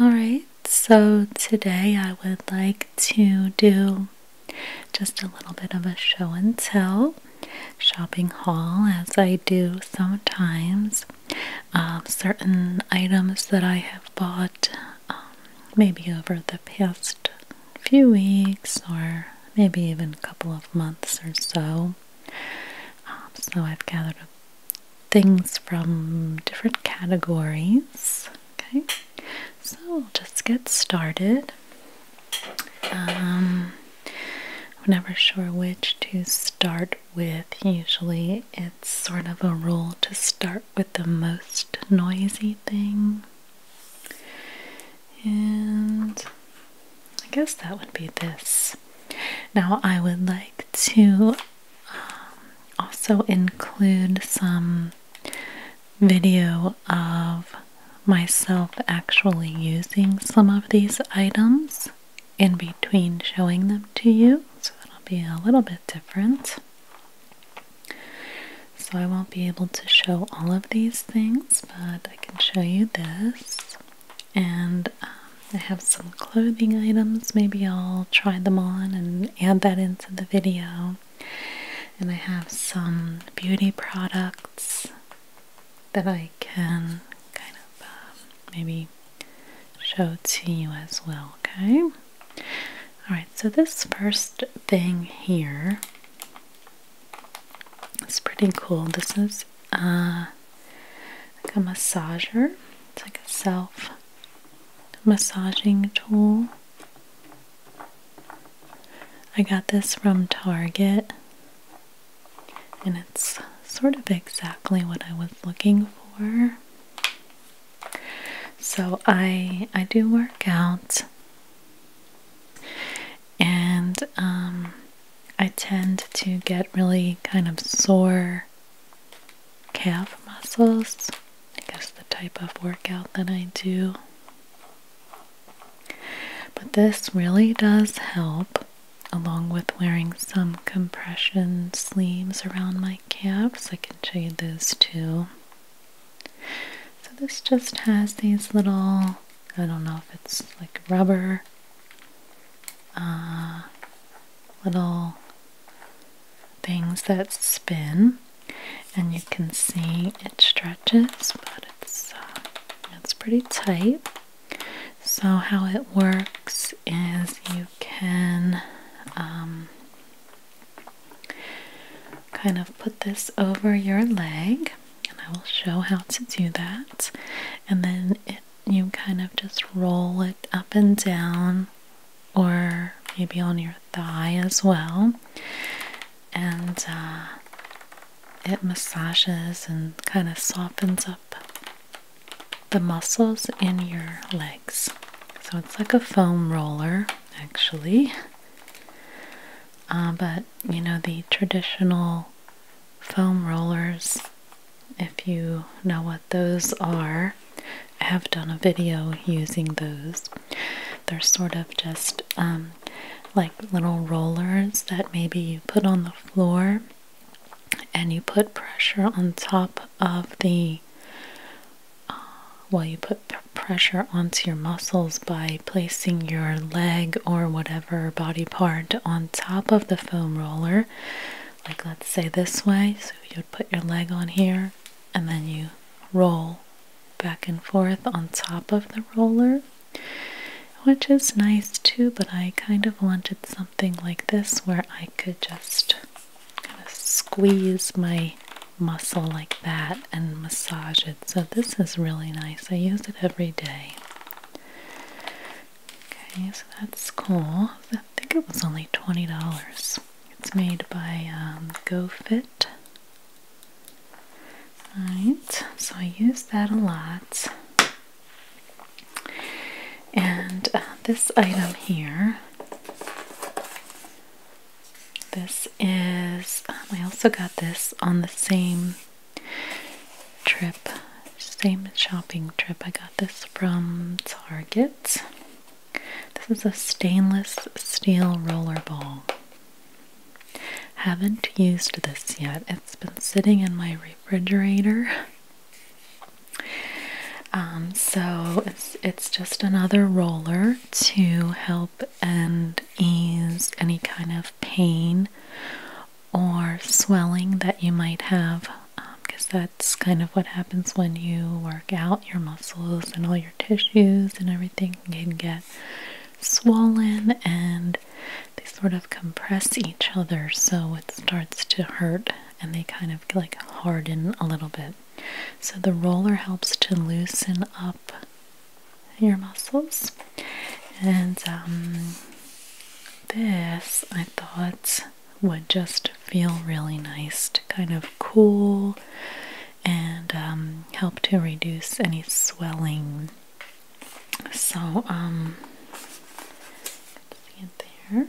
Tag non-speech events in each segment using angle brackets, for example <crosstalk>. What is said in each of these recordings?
Alright, so today I would like to do just a little bit of a show and tell shopping haul as I do sometimes. Um, certain items that I have bought um, maybe over the past few weeks or maybe even a couple of months or so. Um, so I've gathered a things from different categories. Okay, so we'll just get started. Um, I'm never sure which to start with. Usually, it's sort of a rule to start with the most noisy thing. And I guess that would be this. Now, I would like to also include some video of myself actually using some of these items in between showing them to you, so it'll be a little bit different. So I won't be able to show all of these things, but I can show you this and um, I have some clothing items. Maybe I'll try them on and add that into the video. And I have some beauty products that I can kind of um, maybe show to you as well, okay? Alright, so this first thing here is pretty cool. This is uh, like a massager. It's like a self massaging tool. I got this from Target and it's sort of exactly what I was looking for. So I I do work out and um, I tend to get really kind of sore calf muscles. I guess the type of workout that I do. But this really does help, along with wearing some compression sleeves around my calves. I can show you those too. So, this just has these little, I don't know if it's like rubber uh, little things that spin and you can see it stretches but it's uh, it's pretty tight so how it works is you can um, kind of put this over your leg and I will show how to do that and then it you kind of just roll it up and down, or maybe on your thigh as well, and uh, it massages and kind of softens up the muscles in your legs. So it's like a foam roller, actually. Uh, but you know, the traditional foam rollers if you know what those are. I have done a video using those. They're sort of just um, like little rollers that maybe you put on the floor and you put pressure on top of the uh, while you put pressure onto your muscles by placing your leg or whatever body part on top of the foam roller, like let's say this way. So you'd put your leg on here and then you roll back and forth on top of the roller, which is nice too. But I kind of wanted something like this where I could just kind of squeeze my muscle like that and massage it. So this is really nice. I use it every day. Okay, so that's cool. I think it was only $20. It's made by um, GoFit. Alright, so I use that a lot. And uh, this item here, this is, um, I also got this on the same trip same shopping trip. I got this from Target. This is a stainless steel roller ball. Haven't used this yet. It's been sitting in my refrigerator. Um, so it's it's just another roller to help and ease any kind of pain or swelling that you might have because um, that's kind of what happens when you work out your muscles and all your tissues and everything can get swollen and they sort of compress each other so it starts to hurt and they kind of like harden a little bit so the roller helps to loosen up your muscles and um, this I thought would just feel really nice to kind of cool and um, help to reduce any swelling. So, um, see it there.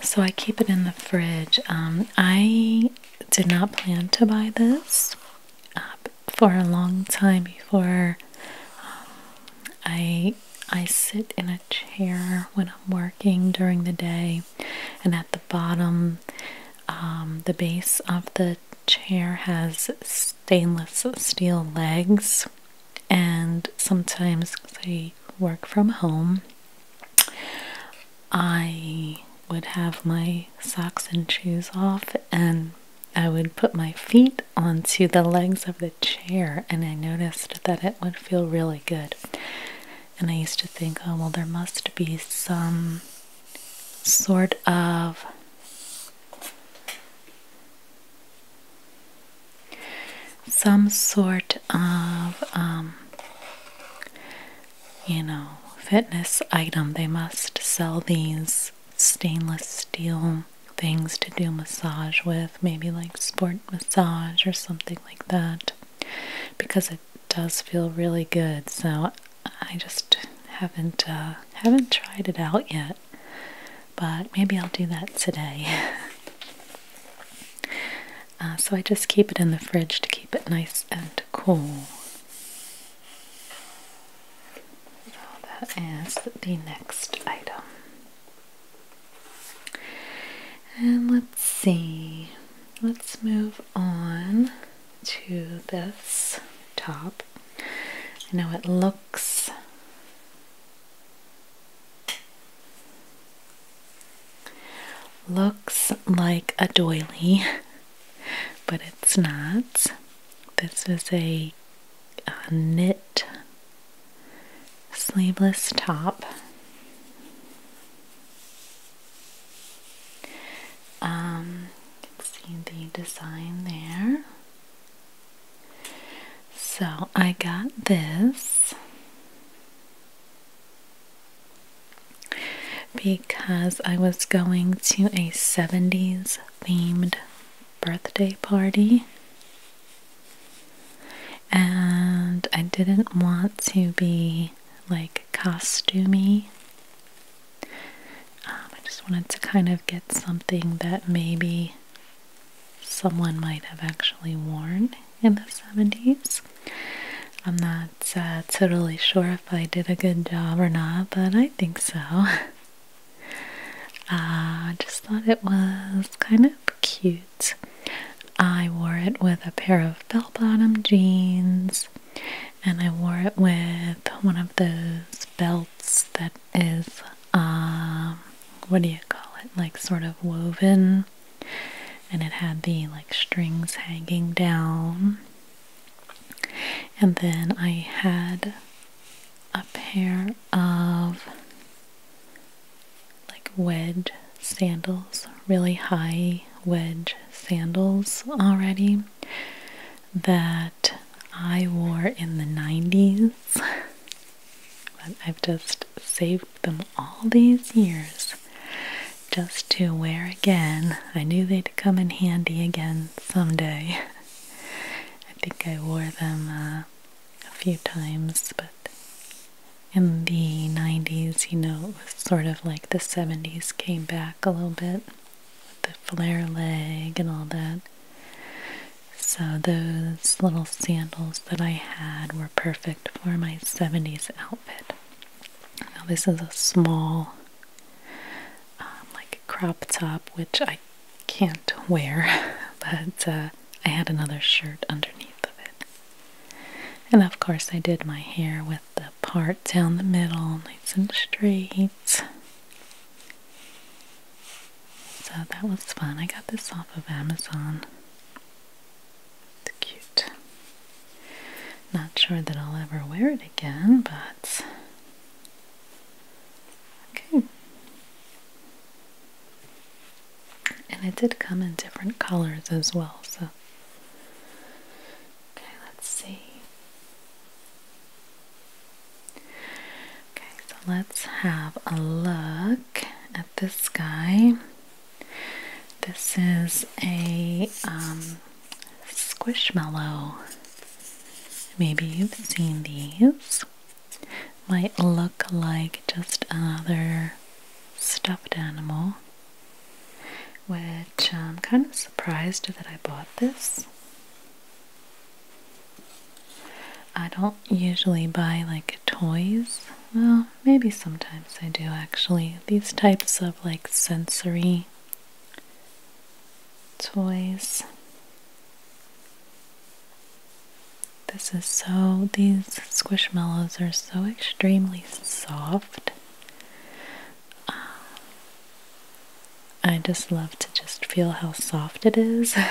So I keep it in the fridge. Um, I did not plan to buy this. Uh, for a long time before um, I I sit in a chair when I'm working during the day, and at the bottom, um, the base of the chair has stainless steel legs, and sometimes I work from home. I would have my socks and shoes off and I would put my feet onto the legs of the chair, and I noticed that it would feel really good. And I used to think, oh, well, there must be some sort of some sort of um, you know fitness item they must sell these stainless steel things to do massage with, maybe like sport massage or something like that, because it does feel really good. So I just haven't uh, haven't tried it out yet, but maybe I'll do that today. <laughs> Uh, so I just keep it in the fridge to keep it nice and cool. Now that is the next item. And let's see, let's move on to this top. Now it looks looks like a doily, <laughs> but it's not. This is a a knit sleeveless top. Um, see the design there. So I got this because I was going to a 70s themed birthday party and I didn't want to be like costumey. Um, I just wanted to kind of get something that maybe someone might have actually worn in the 70s. I'm not uh, totally sure if I did a good job or not, but I think so. <laughs> Ah, I just thought it was kind of cute. I wore it with a pair of bell bottom jeans, and I wore it with one of those belts that is, um, what do you call it? Like sort of woven, and it had the like strings hanging down. And then I had a pair of like wedge sandals, really high wedge sandals already that I wore in the 90s. but I've just saved them all these years just to wear again. I knew they'd come in handy again someday. <laughs> I think I wore them uh, a few times, but in the 90s, you know, it was sort of like the 70s came back a little bit the flare leg and all that. So, those little sandals that I had were perfect for my 70s outfit. Now, this is a small, um, like, crop top, which I can't wear, <laughs> but uh, I had another shirt underneath of it. And of course, I did my hair with the part down the middle, nice and straight. So that was fun. I got this off of Amazon. It's cute. Not sure that I'll ever wear it again, but Okay. And it did come in different colors as well, so. Okay, let's see. Okay, so let's have a look at this guy. This is a um, squishmallow. Maybe you've seen these. Might look like just another stuffed animal, which I'm kind of surprised that I bought this. I don't usually buy like toys. Well, maybe sometimes I do actually. These types of like sensory toys. This is so, these squishmallows are so extremely soft. Um, I just love to just feel how soft it is. <laughs>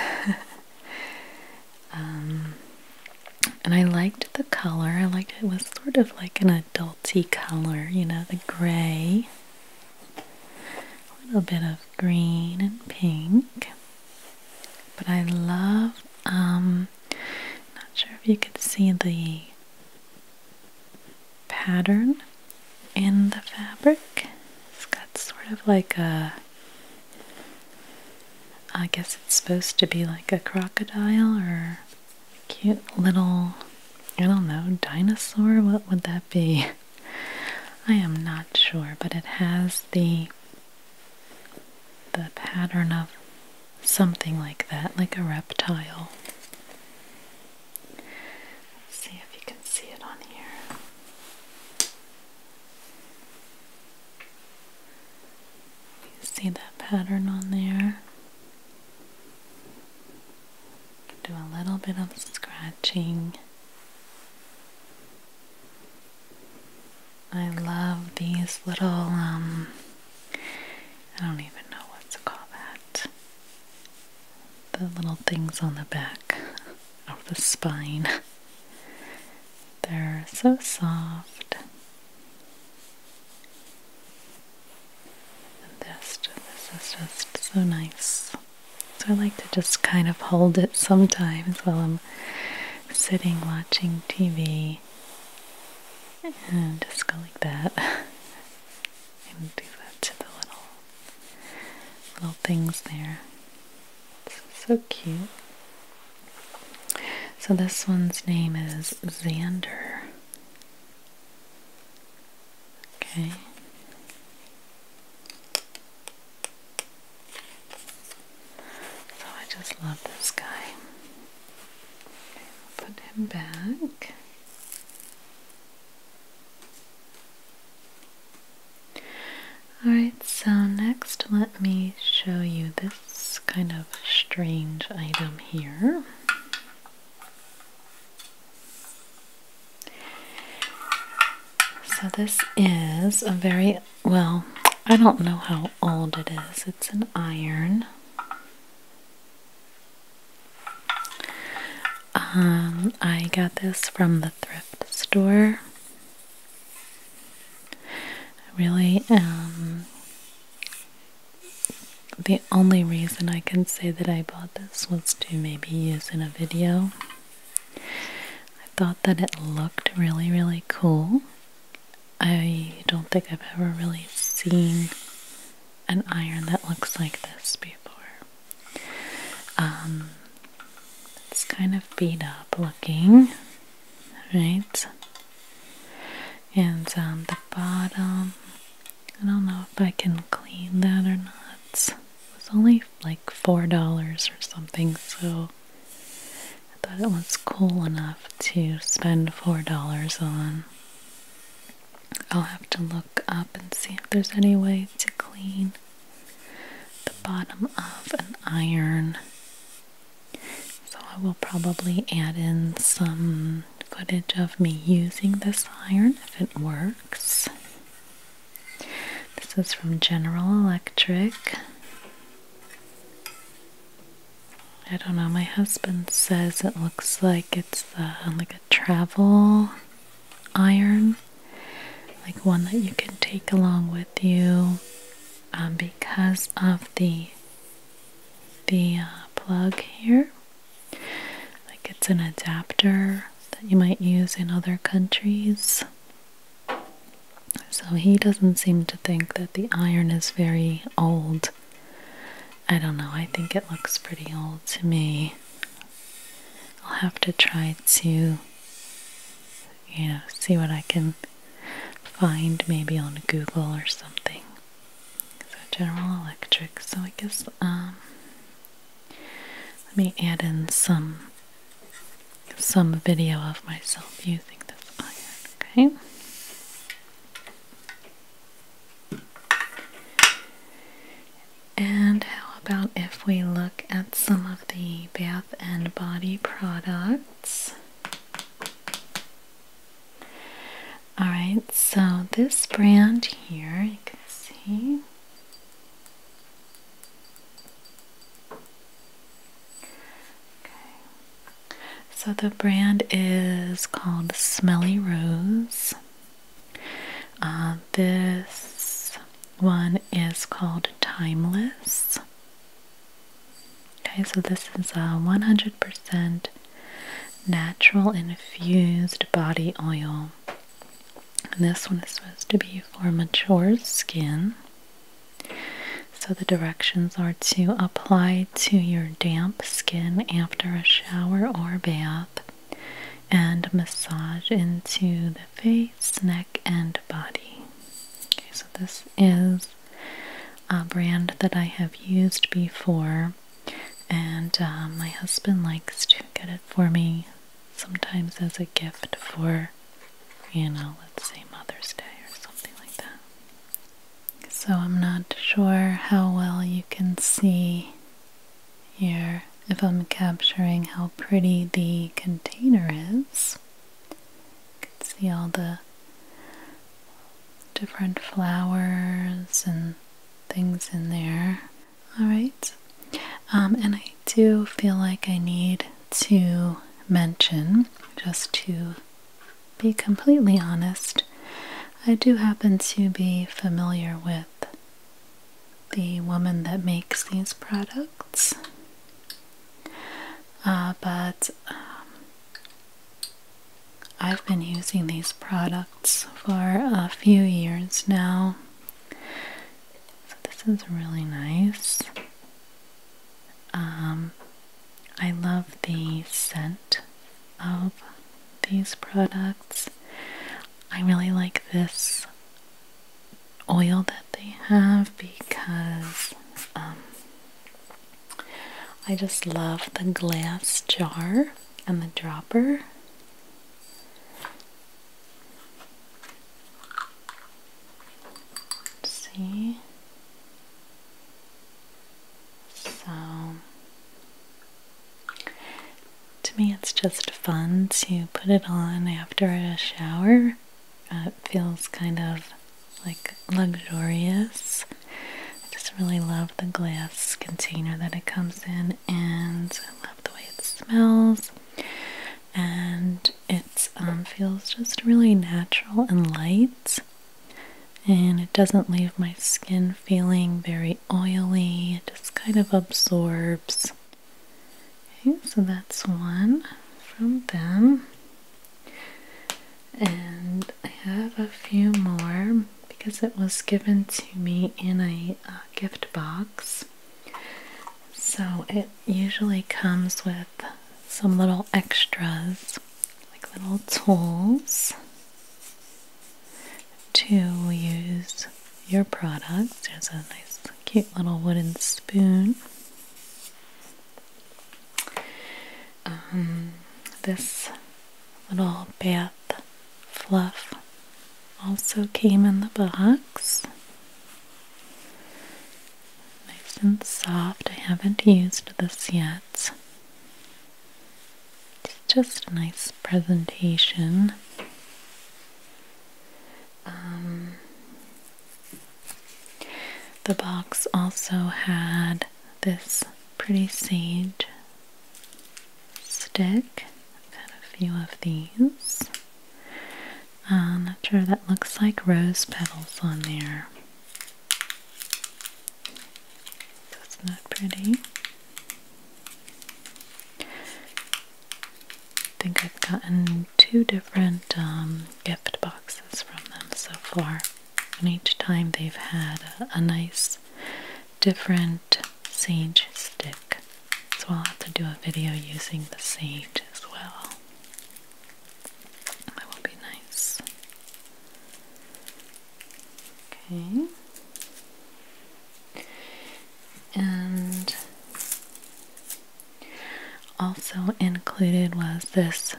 Um, and I liked the color. I liked it was sort of like an adulty color, you know, the gray a little bit of green and pink. But I love, um, not sure if you could see the pattern in the fabric. It's got sort of like a, I guess it's supposed to be like a crocodile or cute little, I don't know, dinosaur? What would that be? I am not sure, but it has the the pattern of something like that, like a reptile. see if you can see it on here. see that pattern on there? Do a little bit of scratching. I love these little, um, I don't even know what to call that. The little things on the back of the spine. They're so soft. this is just so nice. So I like to just kind of hold it sometimes while I'm sitting watching TV. And just go like that. <laughs> and do that to the little little things there. so cute. So this one's name is Xander. Okay. So I just love this guy. put him back. Alright, so next let me show you this kind of strange item here. So this is a very, well, I don't know how old it is. It's an iron. Um, I got this from the thrift store. Really, um, the only reason I can say that I bought this was to maybe use in a video I thought that it looked really, really cool. I don't think I've ever really seen an iron that looks like this before. Um, it's kind of beat up looking, right? And on um, the bottom I don't know if I can clean that or not. It was only like $4 or something, so I thought it was cool enough to spend $4 on. I'll have to look up and see if there's any way to clean the bottom of an iron. So I will probably add in some footage of me using this iron if it works. This is from General Electric. I don't know, my husband says it looks like it's uh, like a travel iron, like one that you can take along with you um, because of the the uh, plug here. Like it's an adapter that you might use in other countries. So he doesn't seem to think that the iron is very old. I don't know, I think it looks pretty old to me. I'll have to try to, you know, see what I can find maybe on Google or something. So General Electric, so I guess um, let me add in some some video of myself using this iron, okay? And how about if we look at some of the bath and body products? Alright, so this brand here, you can see, so the brand is called Smelly Rose. Uh, this one is called Timeless. Okay, so this is a 100% natural infused body oil this one is supposed to be for mature skin. So the directions are to apply to your damp skin after a shower or bath and massage into the face, neck, and body. Okay, so this is a brand that I have used before, and uh, my husband likes to get it for me sometimes as a gift for, you know, let's say Mother's Day or something like that. So I'm not sure how well you can see here if I'm capturing how pretty the container is. You can see all the different flowers and things in there. Alright, um, and I do feel like I need to mention, just to be completely honest, I do happen to be familiar with the woman that makes these products. Uh, but um, I've been using these products for a few years now, so this is really nice. Um, I love the scent of these products. I really like this oil that they have because um, I just love the glass jar and the dropper see. So, to me, it's just fun to put it on after a shower. it feels kind of like luxurious. I just really love the glass container that it comes in, and I love the way it smells and it um, feels just really natural and light. And it doesn't leave my skin feeling very oily, it just kind of absorbs. Okay, so that's one from them. And I have a few more because it was given to me in a uh, gift box. So it usually comes with some little extras, like little tools to use your products. There's a nice, cute little wooden spoon. Um, this little bath Bath Fluff also came in the box. Nice and soft. I haven't used this yet. It's just a nice presentation. Um, the box also had this pretty sage stick. I've got a few of these. Uh, I'm not sure that looks like rose petals on there. That's not pretty. I think I've gotten two different um, gift boxes from them so far. And each time they've had a nice different sage stick. So I'll have to do a video using the sage as well. That will be nice. Okay. And also included was this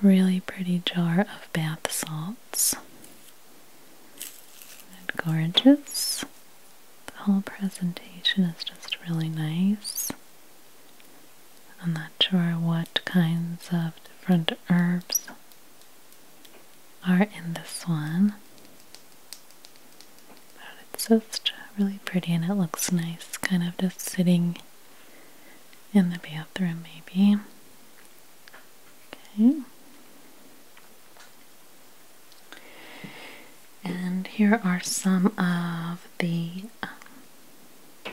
really pretty jar of bath salts gorgeous. The whole presentation is just really nice. I'm not sure what kinds of different herbs are in this one. But it's just really pretty and it looks nice, kind of just sitting in the bathroom, maybe. Okay. And here are some of the um,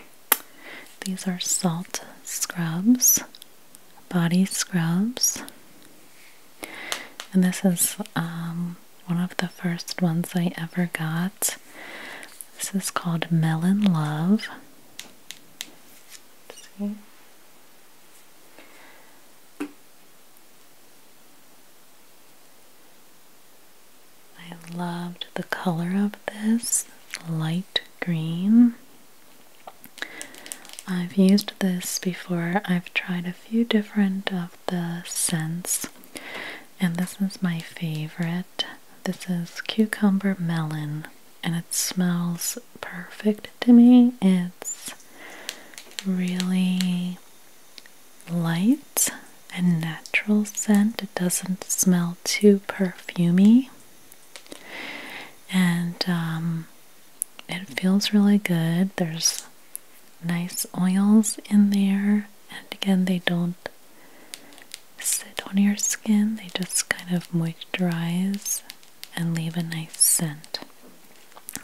these are salt scrubs, body scrubs. And this is um, one of the first ones I ever got. This is called Melon Love. see. I loved the color of this light green. I've used this before. I've tried a few different of the scents, and this is my favorite. This is cucumber melon, and it smells perfect to me. It's really light and natural scent. It doesn't smell too perfumy, And um, it feels really good. There's nice oils in there. And again, they don't sit on your skin, they just kind of moisturize and leave a nice scent.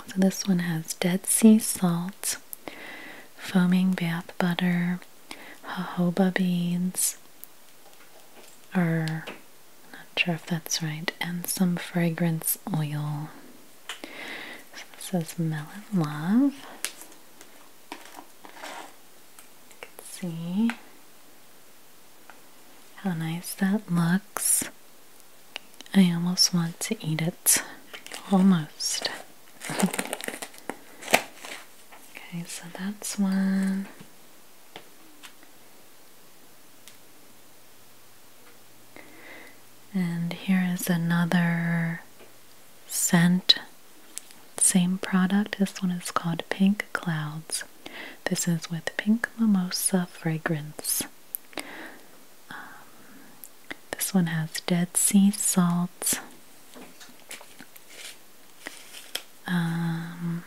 So this one has Dead Sea Salt, Foaming Bath Butter, jojoba beads, or not sure if that's right, and some fragrance oil. So this is Melon Love. You can see how nice that looks. I almost want to eat it. Almost. <laughs> okay, so that's one. And here is another scent. Same product. This one is called Pink Clouds. This is with Pink Mimosa Fragrance. Um, this one has Dead Sea salts, um,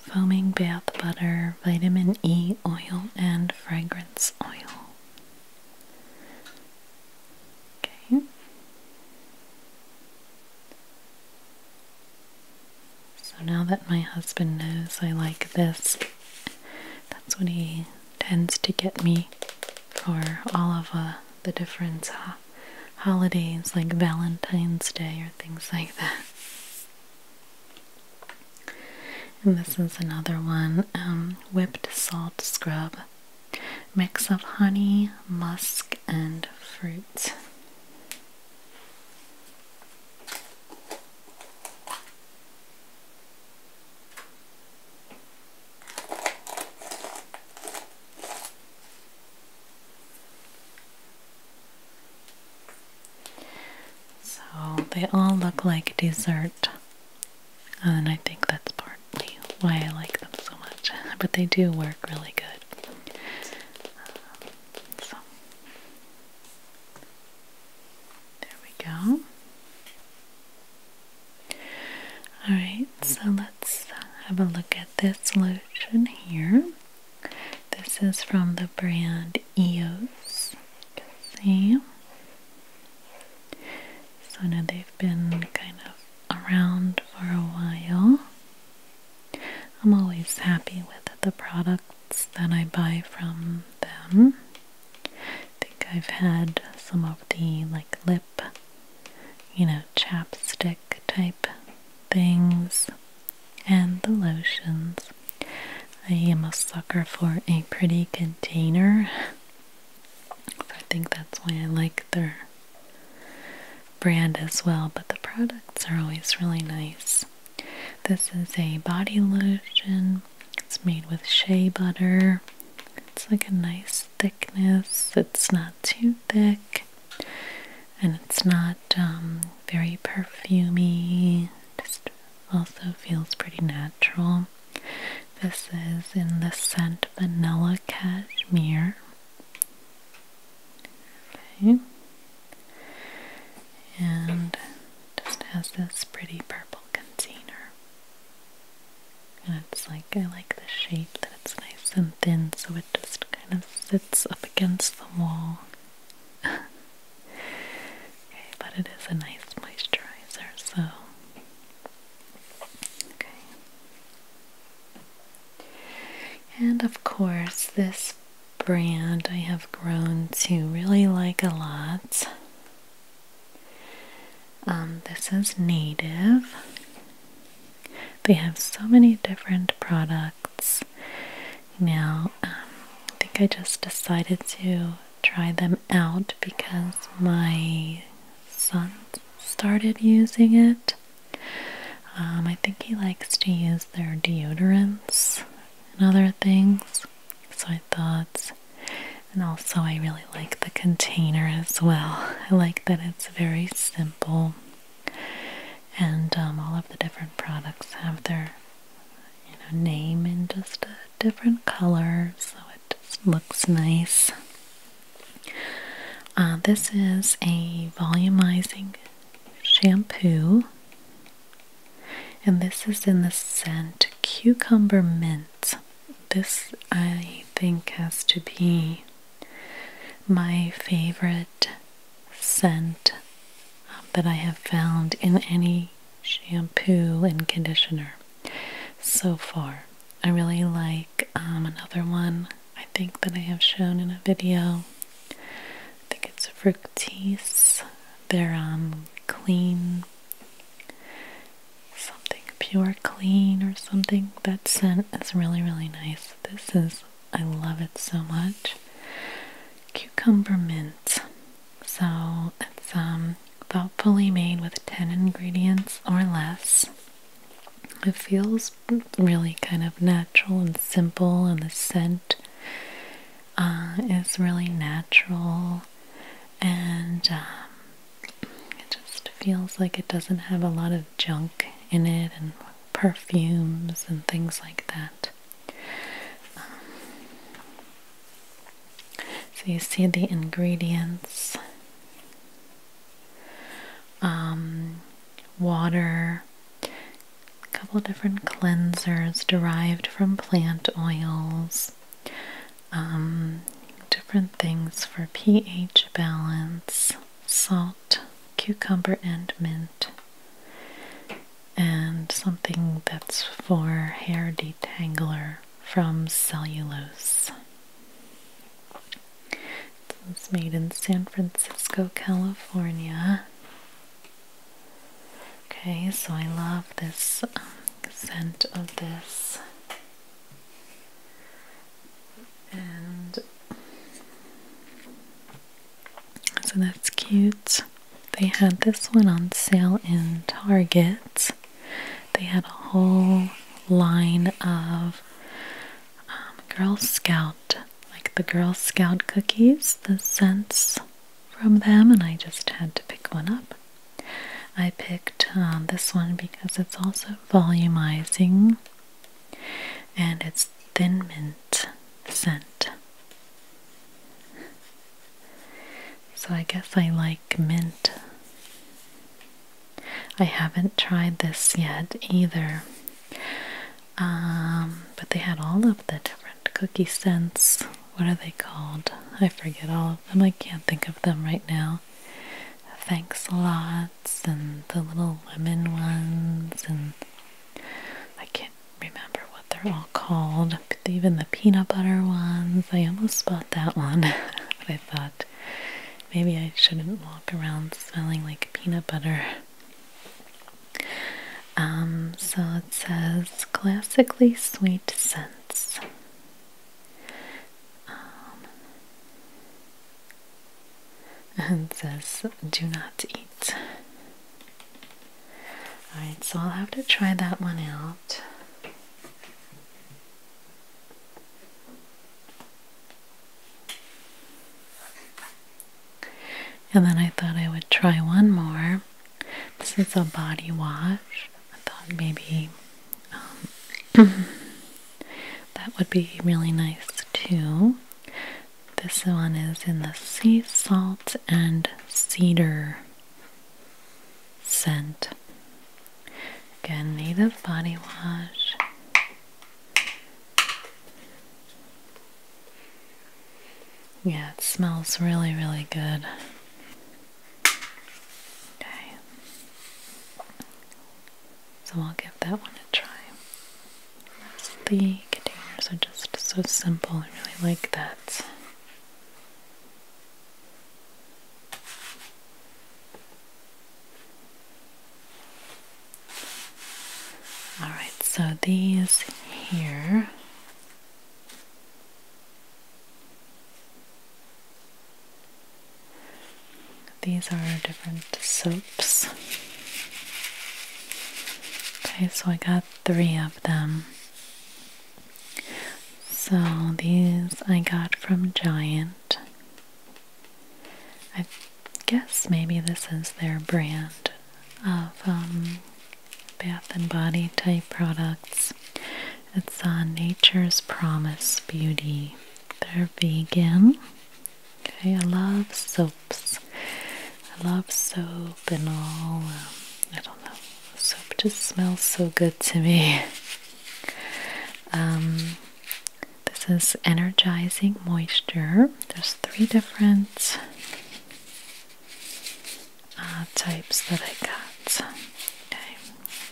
foaming bath butter, vitamin E oil, and fragrance oil. Okay. So now that my husband knows I like this, that's what he tends to get me for all of uh, the different uh, holidays like Valentine's Day or things like that. And this is another one um, whipped salt scrub. Mix of honey, musk, and fruit. So they all look like dessert, and I think that's partly why I like them so much. <laughs> But they do work really good. Um, so there we go. Alright, so let's have a look at this lotion here. This is from the brand EOS. see. So now they've been kind of around for a while. I'm always happy with the products that I buy from them. I think I've had some of the like lip, you know, chapstick type things and the lotions. I am a sucker for a pretty container. I think that's why I like their brand as well, but the products are always really nice. This is a body lotion. It's made with shea butter. It's like a nice thickness. It's not too thick. And it's not um, very perfumy. Just also feels pretty natural. This is in the scent Vanilla Cashmere. Okay and just has this pretty purple container. And it's like, I like the shape that it's nice and thin, so it just kind of sits up against the wall. <laughs> but it is a nice moisturizer, so. Okay. And of course, this brand I have grown to really like a lot. Um, this is Native. They have so many different products. Now, um, I think I just decided to try them out because my son started using it. Um, I think he likes to use their deodorants and other things. So I thought, and also I really like the container as well. I like that it's very simple, and um, all of the different products have their you know name in just a different color, so it just looks nice. Uh, this is a volumizing shampoo and this is in the scent cucumber mint. This, I think, has to be my favorite scent that I have found in any shampoo and conditioner so far. I really like um, another one I think that I have shown in a video I think it's fructis. They're um clean something pure clean or something. That scent is really really nice. This is I love it so much. Cucumber mint. So it's um thoughtfully made with 10 ingredients or less. It feels really kind of natural and simple and the scent uh, it's really natural and um, it just feels like it doesn't have a lot of junk in it and perfumes and things like that. Um, so you see the ingredients. Um, water, a couple different cleansers derived from plant oils, um, different things for pH balance, salt, cucumber, and mint, and something that's for hair detangler from cellulose. This made in San Francisco, California. Okay, so I love this um, scent of this. And so that's cute. They had this one on sale in Target. They had a whole line of um, Girl Scout like the Girl Scout cookies, the scents from them, and I just had to pick one up. I picked um, this one because it's also volumizing and it's thin mint scent. So I guess I like mint. I haven't tried this yet either. Um, but they had all of the different cookie scents. What are they called? I forget all of them. I can't think of them right now. Thanks a lots and the little lemon ones and I can't remember what they're all called. even the peanut butter ones. I almost bought that one. <laughs> but I thought maybe I shouldn't walk around smelling like peanut butter. Um, so it says classically sweet scents. Um, and says do not eat. Alright, so I'll have to try that one out. And then I thought I would try one more. This is a body wash. I thought maybe um, <clears throat> that would be really nice too. This one is in the sea salt and cedar scent. Again, native body wash. Yeah, it smells really, really good. Okay. So I'll give that one a try. The containers are just so simple. I really like that. Alright, so these here these are different soaps. Okay, so I got three of them. So these I got from Giant guess maybe this is their brand of um, bath and body type products. It's on uh, Nature's Promise Beauty. They're vegan. Okay, I love soaps. I love soap and all. Um, I don't know. Soap just smells so good to me. Um, this is energizing moisture. There's three different Ah, types that I got. Okay,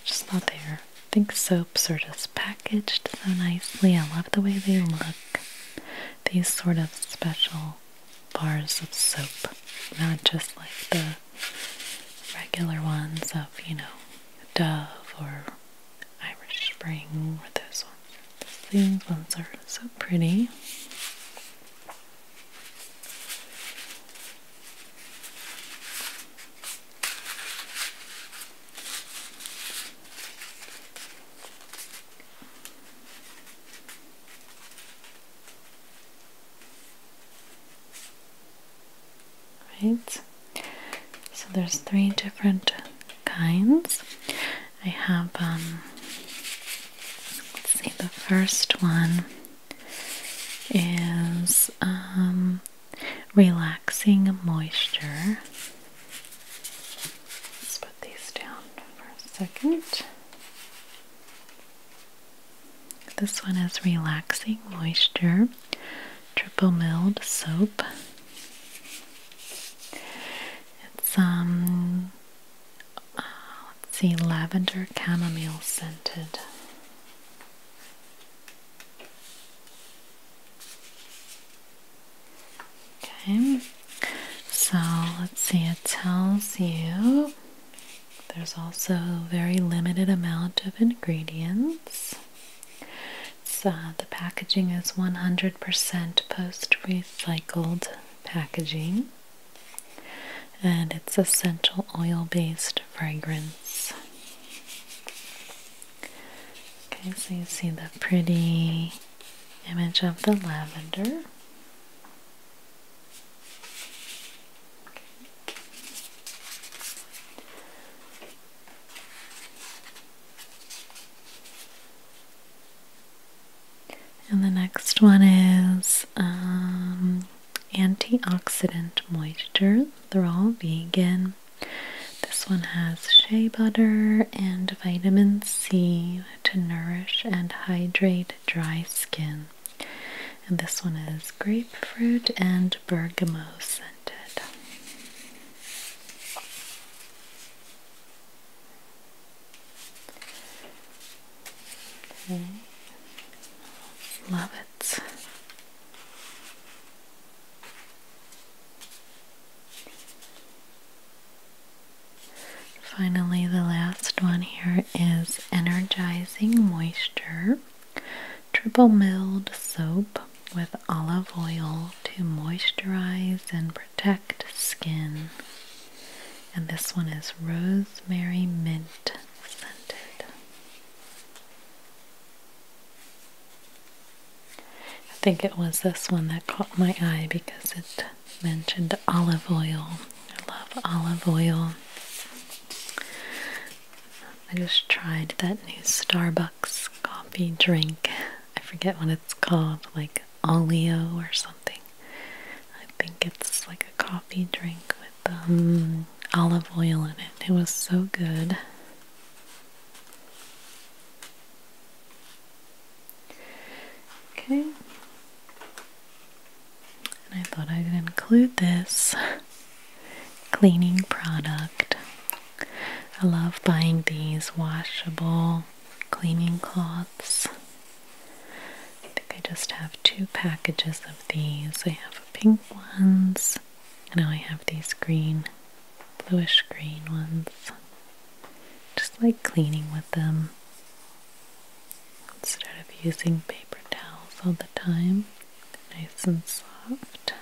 just not there. I think soaps are just packaged so nicely. I love the way they look. These sort of special bars of soap, not just like the regular ones of you know Dove or Irish Spring or one. These ones are so pretty. Right. So there's three different kinds. I have, um, let's see, the first one is um, relaxing moisture. Let's put these down for a second. This one is relaxing moisture triple milled soap. It's um, uh, let's see, lavender chamomile scented. Okay, so let's see, it tells you there's also a very limited amount of ingredients. So the packaging is 100% post recycled packaging and it's essential oil based fragrance. Okay, so you see the pretty image of the lavender. And the next one is um, antioxidant moisture. They're all vegan. This one has shea butter and vitamin C to nourish and hydrate dry skin. And this one is grapefruit and bergamot scented. Love it. Finally, the last one here is Energizing Moisture Triple Milled Soap with Olive Oil to moisturize and protect Skin. And this one is Rosemary Mint Scented. I think it was this one that caught my eye because it mentioned olive oil. I love olive oil. I just tried that new Starbucks coffee drink. I forget what it's called, like oleo or something. I think it's like a coffee drink with um, olive oil in it. It was so good. Okay. And I thought I'd include this cleaning product. I love buying these washable cleaning cloths. I think I just have two packages of these. I have pink ones, and now I have these green, bluish green ones. Just like cleaning with them instead of using paper towels all the time. Nice and soft.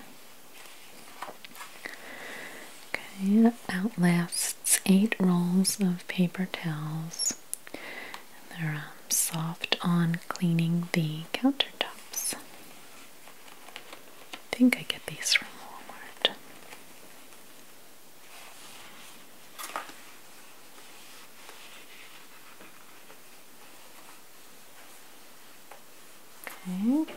Okay, Outlast it's eight rolls of paper towels. And they're um, soft on cleaning the countertops. I think I get these from Walmart. Okay.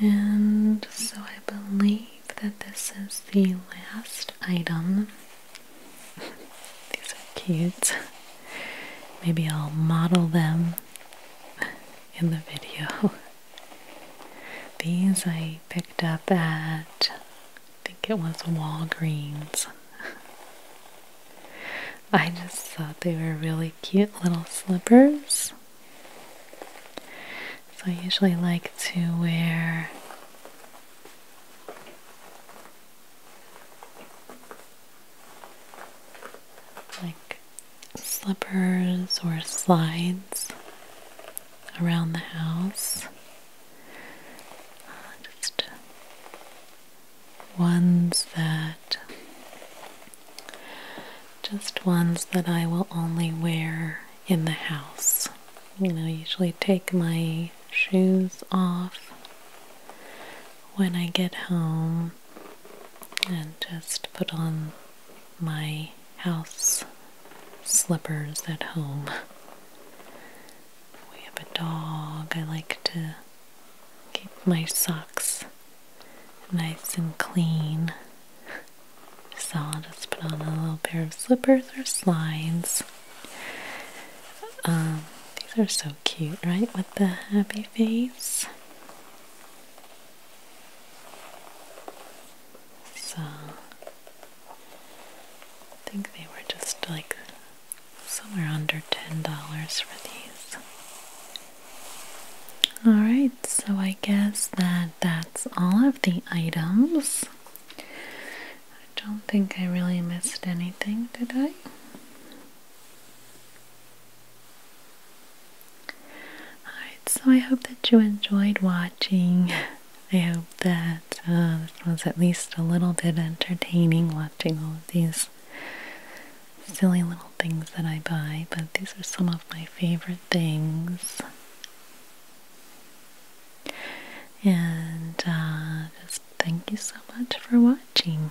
And so I believe that this is the last item. <laughs> These are cute. Maybe I'll model them in the video. These I picked up at, I think it was Walgreens. I just thought they were really cute little slippers. So I usually like to wear like slippers or slides around the house. Uh, just ones that just ones that I will only wear in the house. You know, usually take my shoes off when I get home and just put on my house slippers at home. We have a dog. I like to Keep my socks nice and clean. So I'll just put on a little pair of slippers or slides. Um, these are so cute, right? With the happy face. So I think they were just like somewhere under $10 for these. Alright, so I guess that that's all of the items. I don't think I really missed anything, did I? Alright, so I hope that you enjoyed watching. <laughs> I hope that uh, it was at least a little bit entertaining watching all of these silly little things that I buy, but these are some of my favorite things. And uh, just thank you so much for watching.